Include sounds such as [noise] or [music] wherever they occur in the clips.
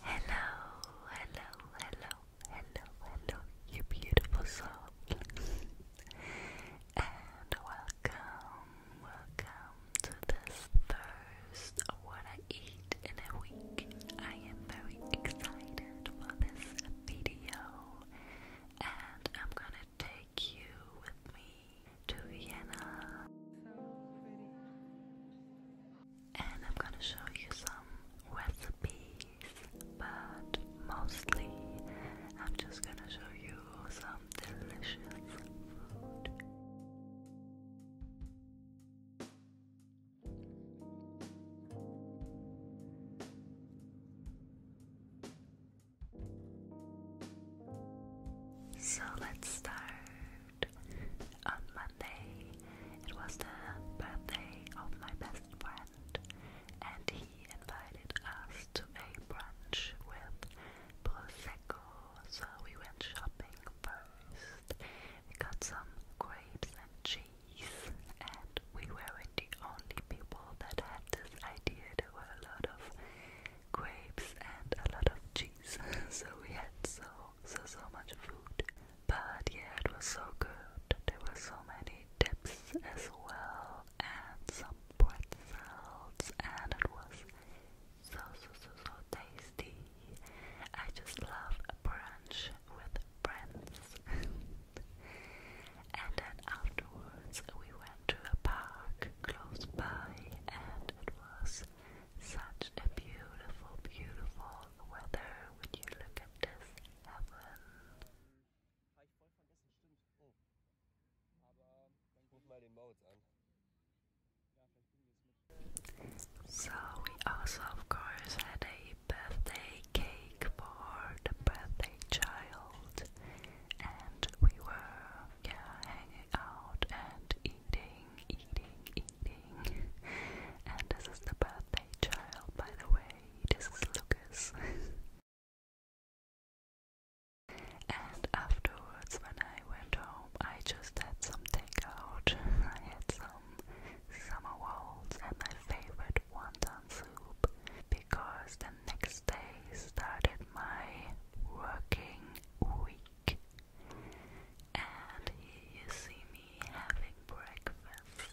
Hello, hello, hello, hello, hello, you beautiful soul. and welcome, welcome to this first What I Eat in a Week. I am very excited for this video, and I'm gonna take you with me to Vienna. And I'm gonna show you some recipes, but mostly I'm just gonna show you some delicious food. So let's start. On Monday, it was the birthday of my best friend, and he invited us to a brunch with Prosecco. So we went shopping first. We got some grapes and cheese, and we weren't the only people that had this idea. There were a lot of grapes and a lot of cheese. [laughs] so we had so so so much food. But yeah, it was so good. There were so many dips as well and some pretzels and it was so so so so tasty. I just love a brunch with friends. [laughs] and then afterwards we went to a park close by, and it was such a beautiful, beautiful weather when you look at this So we also of course had a birthday cake for the birthday child and we were yeah, out and eating, eating, eating. And this is the birthday child, by the way. This is Lucas. and afterwards, when I went home, I just had some takeout. I had some summer rolls and my favorite wonton soup because the next day started my working week and here you see me having breakfast.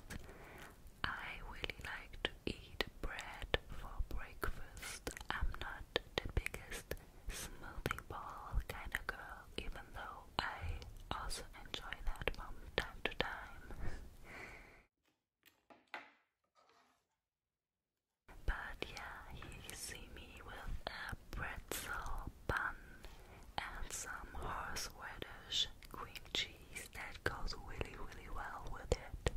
I really like to eat bread for breakfast. I'm not the biggest smoothie ball kind of girl, even though I also enjoy that from time to time. But yeah, you see me with a pretzel bun and some horseradish cream cheese that goes really, really well with it,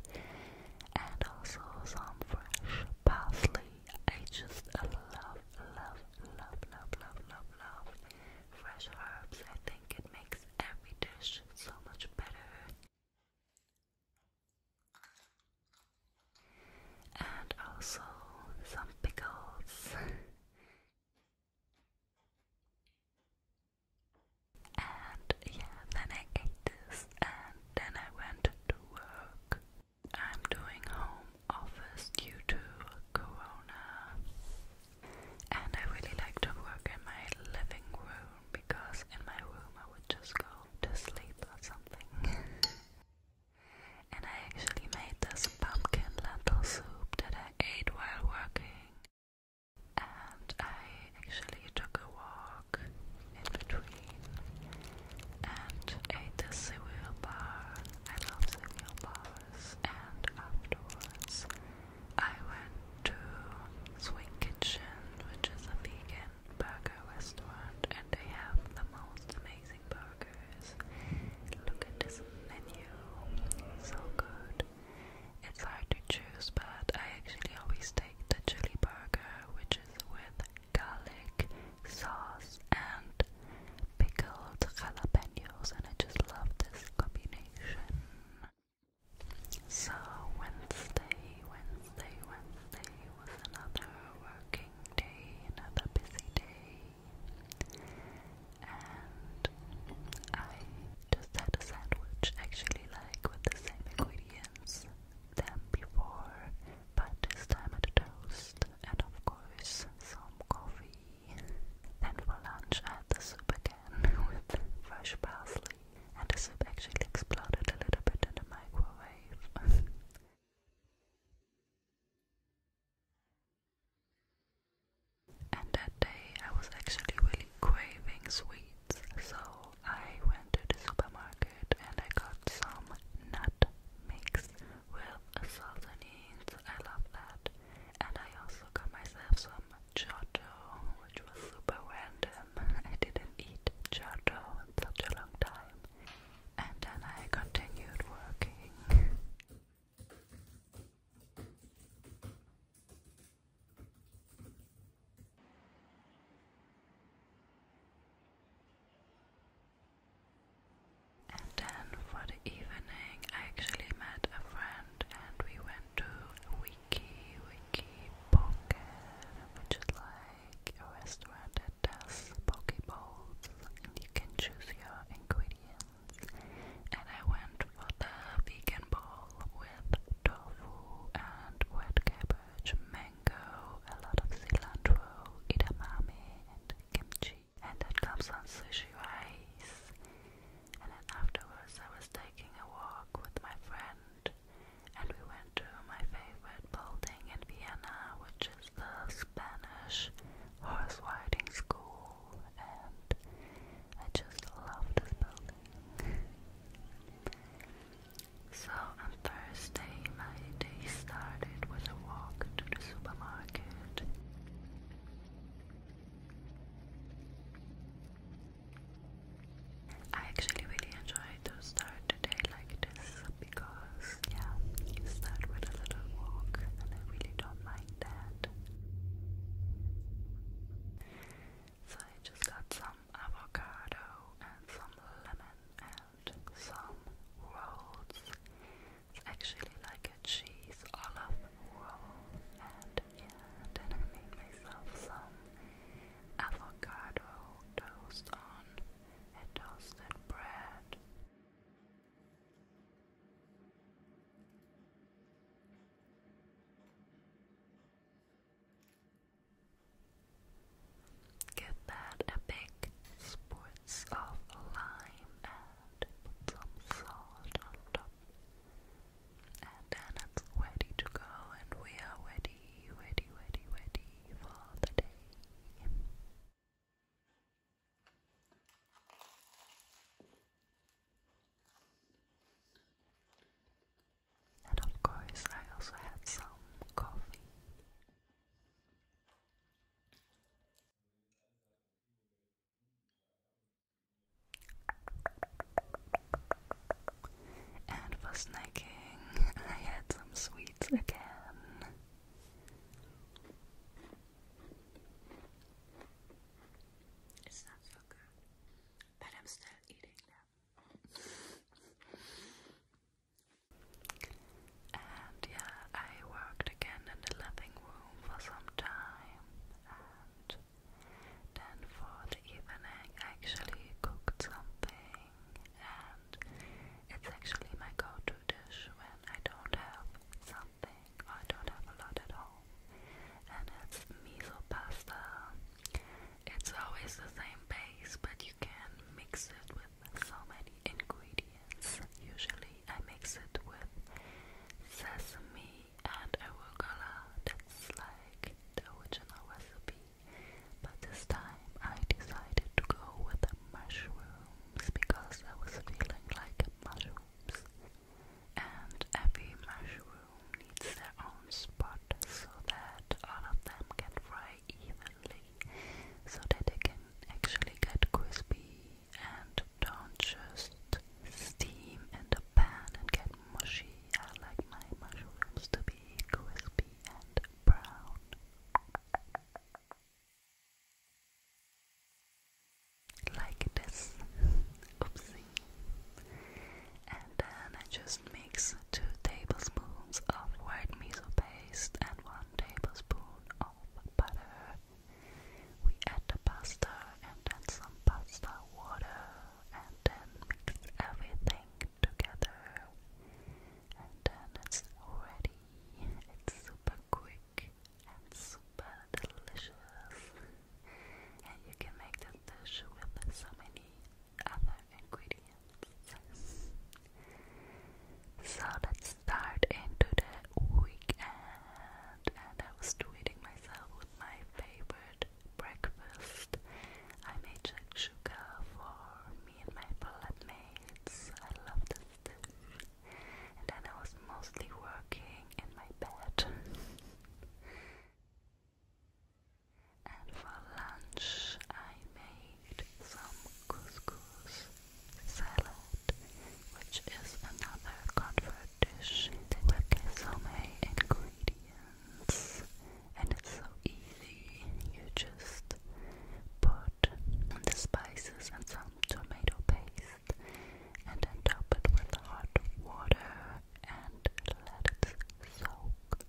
and also some fresh parsley. I just love, love, love, love, love, love, love fresh herbs. I think it makes every dish so much better and also some pickles and yeah then I ate this and then I went to work I'm doing home office due to corona and I really like to work in my living room because in my room I would just go to sleep or something. and I actually made this pumpkin lentil soup that I ate while working. And I actually took a walk in between and ate the cereal bar. I love cereal bars. And afterwards, I went to Sweet Kitchen, which is a vegan burger restaurant and they have the most amazing burgers. Look at this menu, so good. It's hard to choose, but I actually always take the chili burger, which is with garlic sauce and pickled jalapenos, and I just love this combination. So Wednesday, Wednesday, Wednesday, was another working day, another busy day, and I just had a sandwich actually, like with the same ingredients than before, but this time at a toast, and of course, some coffee. Then for lunch, I had the soup again [laughs] with fresh parsley and the soup actually exploded a little bit in the microwave. [laughs] and that day I was actually really craving sweets, so I went to the supermarket and I got some nut mix with salsonines. I love that. And I also got myself some choco, which was super random. I didn't eat churro in such a long time, and then I continued working. And then for the evening, I actually met a friend and we went to Wiki Wiki Pocket, which is like like a restaurant that does poke and you can choose your ingredients. And I went for the vegan bowl with tofu and red cabbage, mango, a lot of cilantro, edamame, and kimchi. And that comes on sushi rice. And then afterwards, I was taking a walk with my friend, and we went to my favorite building in Vienna, which is the Spanish Horse Riding School, and I just love this building. so on Thursday, my day started with a walk to the supermarket. I actually really enjoy to start the day like this because, yeah, you start with a little walk and I really don't mind that. So I just got some avocado and some lemon and some rolls. It's actually like a cheese olive roll and yeah, then I made myself some avocado toast on a toasted bread. Give that a big spritz of lime and some salt on top. And then it's ready to go, and we are ready, ready, ready, ready and of course, I also had some coffee. And for snacking, [laughs] I had some sweets again. It's not so good, but I'm still eating them. and yeah, I worked again in the living room for some time, and then for the evening, I actually cooked something and it's actually my go-to dish when I don't have something I don't have a lot at home. And it's miso pasta. It's always the same base, but you can mix it with so many ingredients. Usually, I mix it with sesame and arugula. That's like the original recipe. But this time I decided to go with the mushrooms because I was feeling like mushrooms. And every mushroom needs their own spot so that all of them can fry evenly, so that they can actually get crispy and don't just steam in the pan and get mushy. I like my mushrooms to be crispy brown. Like this. Oopsie. And then I just mix two tablespoons of white miso paste and one tablespoon of butter. We add the pasta and then some pasta water and then mix everything together and then it's ready. It's super quick and super delicious. And you can make this dish with so many other ingredients. So let's start into the weekend and I was tweeting myself with my favorite breakfast. I made Jack sugar for me and my flatmates. I love this dish. And then I was mostly working in my bed. [laughs] and for lunch, I made some couscous salad, which is another comfort dish that has so many ingredients and it's so easy. You just put the spices and some tomato paste and then top it with hot water and let it soak.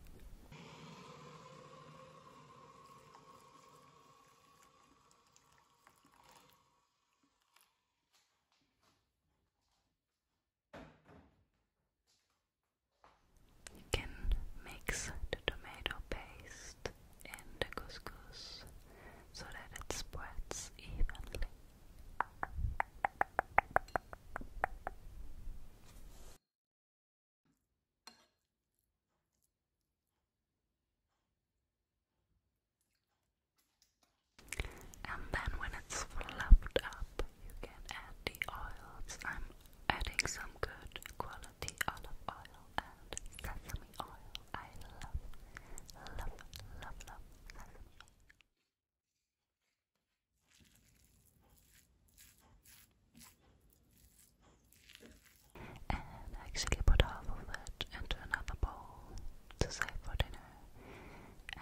You can mix the tomato paste and the couscous so that it spreads evenly. And then when it's fluffed up, you can add the oils. I'm adding some good quality olive oil and sesame oil. I love, love, love, love sesame And actually put half of it into another bowl to save for dinner.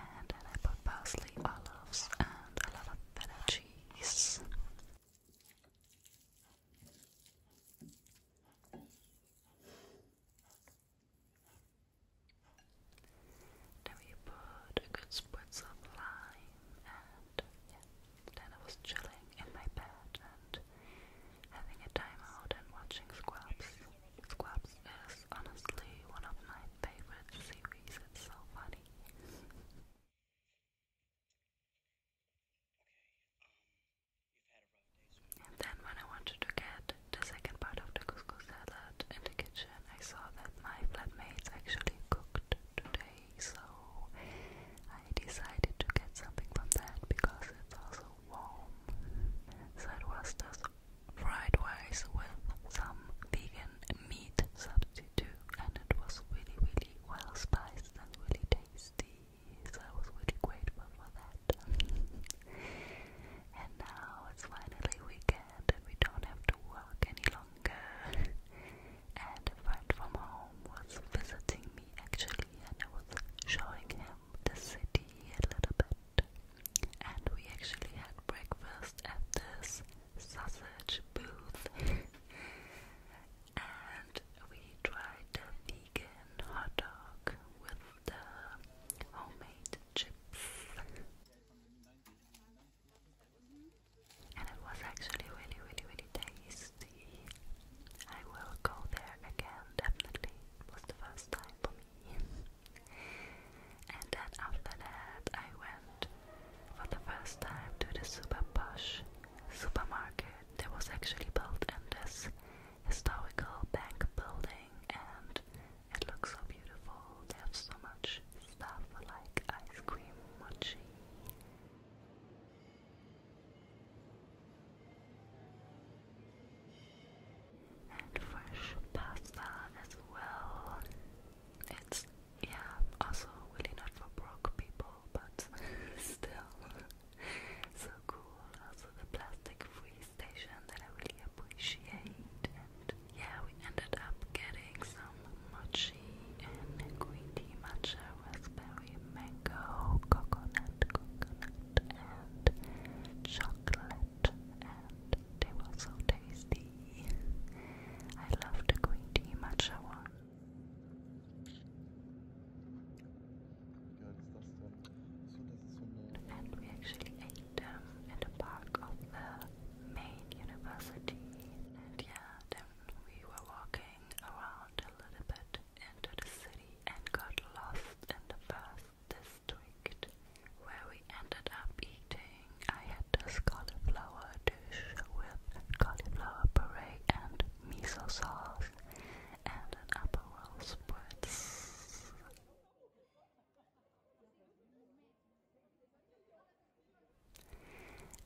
And then I put parsley, olives, and a lot of feta trees. Then we put a good spritz of lime, and then I was chilling in my bed and having a timeout and watching Scrubs. Scrubs is honestly one of my favorite series. It's so funny then when I wanted to get the second part of the couscous salad in the kitchen, I saw that my flatmates actually cooked today, so I decided to get something from that because it's also warm. So was just fried rice with some vegan meat substitute too, and it was really, really well spiced and really tasty. So I was really grateful for that. [laughs] and now it's finally weekend, we don't have to work any longer. and a friend from home was visiting me actually, and I was showing him the city a little bit. And we actually had breakfast at this sausage booth and we tried the vegan hot dog with the homemade chips and it was actually really really really tasty I will go there again definitely was the first time for me and then after that, I went for the first time to the super posh supermarket that was actually built in this historical bank building, and it looks so beautiful. They have so much stuff like ice cream, mochi. And fresh pasta as well. It's yeah, also really not for broke people, but [laughs] still so cool. Also the plastic free station that I really appreciate and yeah, we ended up getting some mochi and green tea matcha, raspberry, mango, coconut, coconut and chocolate and they were so tasty. I love going to tea matcha And we actually ate them um, in the park of the main university. And yeah, then we were walking around a little bit into the city and got lost in the first district where we ended up eating. I had this cauliflower dish with cauliflower puree and miso sauce and an Aperol spritz.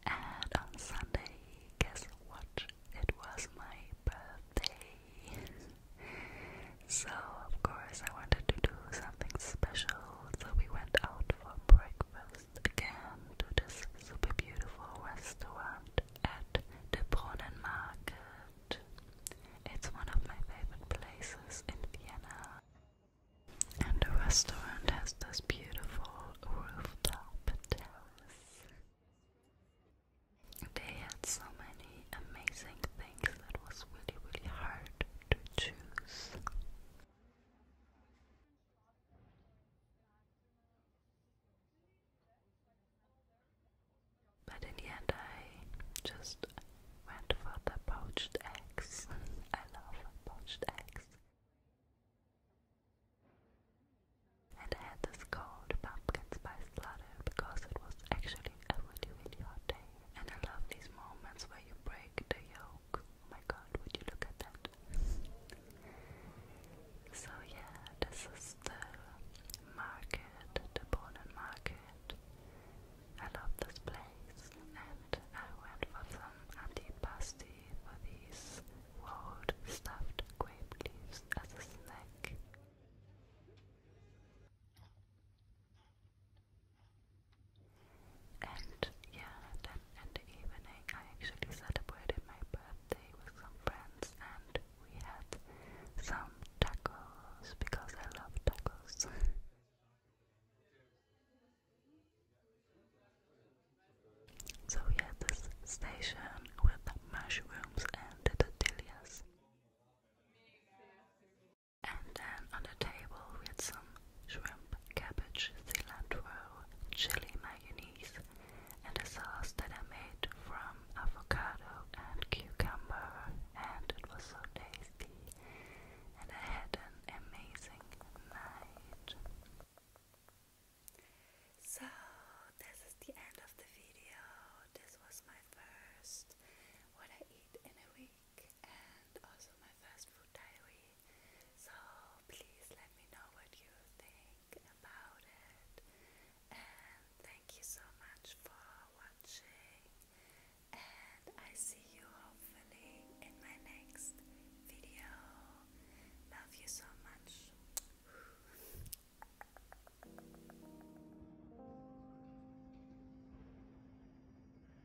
And on Sunday, guess what? It was my birthday. so, of course, I wanted to do something special so we went out for breakfast again to this super beautiful restaurant at the Brunnen Market. It's one of my favorite places in Vienna. And the restaurant has this beautiful rooftop terrace. They had so many amazing things that was really, really hard to choose. But in the end, I just went for the poached eggs. [laughs] I love poached eggs. And I had this cold pumpkin spice latte because it was actually a really, really hot day. And I love these moments where you break the yolk. Oh my god, would you look at that? So yeah, this is the market, the Bonan market. I love this place and I went for some antipasti for these rolled stuffed grape leaves as a snack. And yeah, then in the evening I actually celebrated my birthday with some friends and we had some tacos because I love tacos. [laughs] so we had this station with mushrooms and tortillas. And then on the table we had some shrimp, cabbage, cilantro, chili mayonnaise, and a sauce that I made from avocado and cucumber, and it was so tasty. And I had an amazing night. So, this is the end of the video. This was my first what I eat in a week and also my first food diary. So please let me know what you think about it. And thank you so much for watching. And I see you hopefully in my next video. Love you so much.